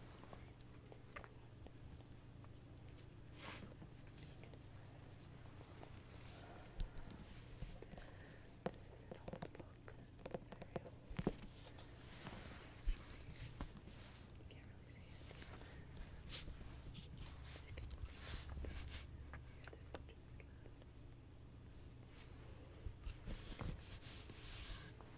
This is an old book, very old. You can't really see it.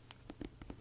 It's the same map.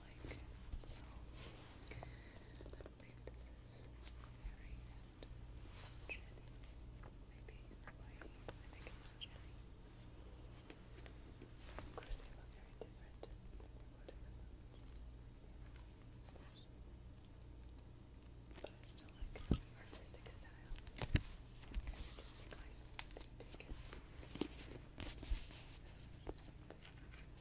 like it. So I believe this is Harry and Jenny. Maybe Hawaii. Jenny. Of course they look very different. But I still like artistic style. artistic license that they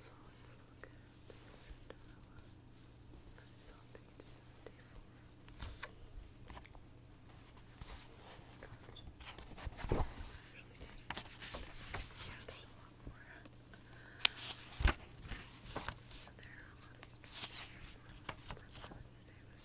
So let's look at more. So let's look at this Cinderella. That is on page 74. Actually, yeah, there's a lot more. There are a lot of these pictures. Let's stay with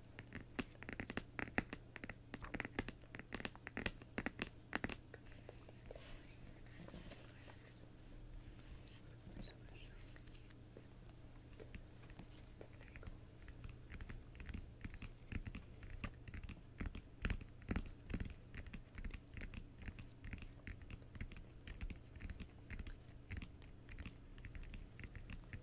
It's very cool.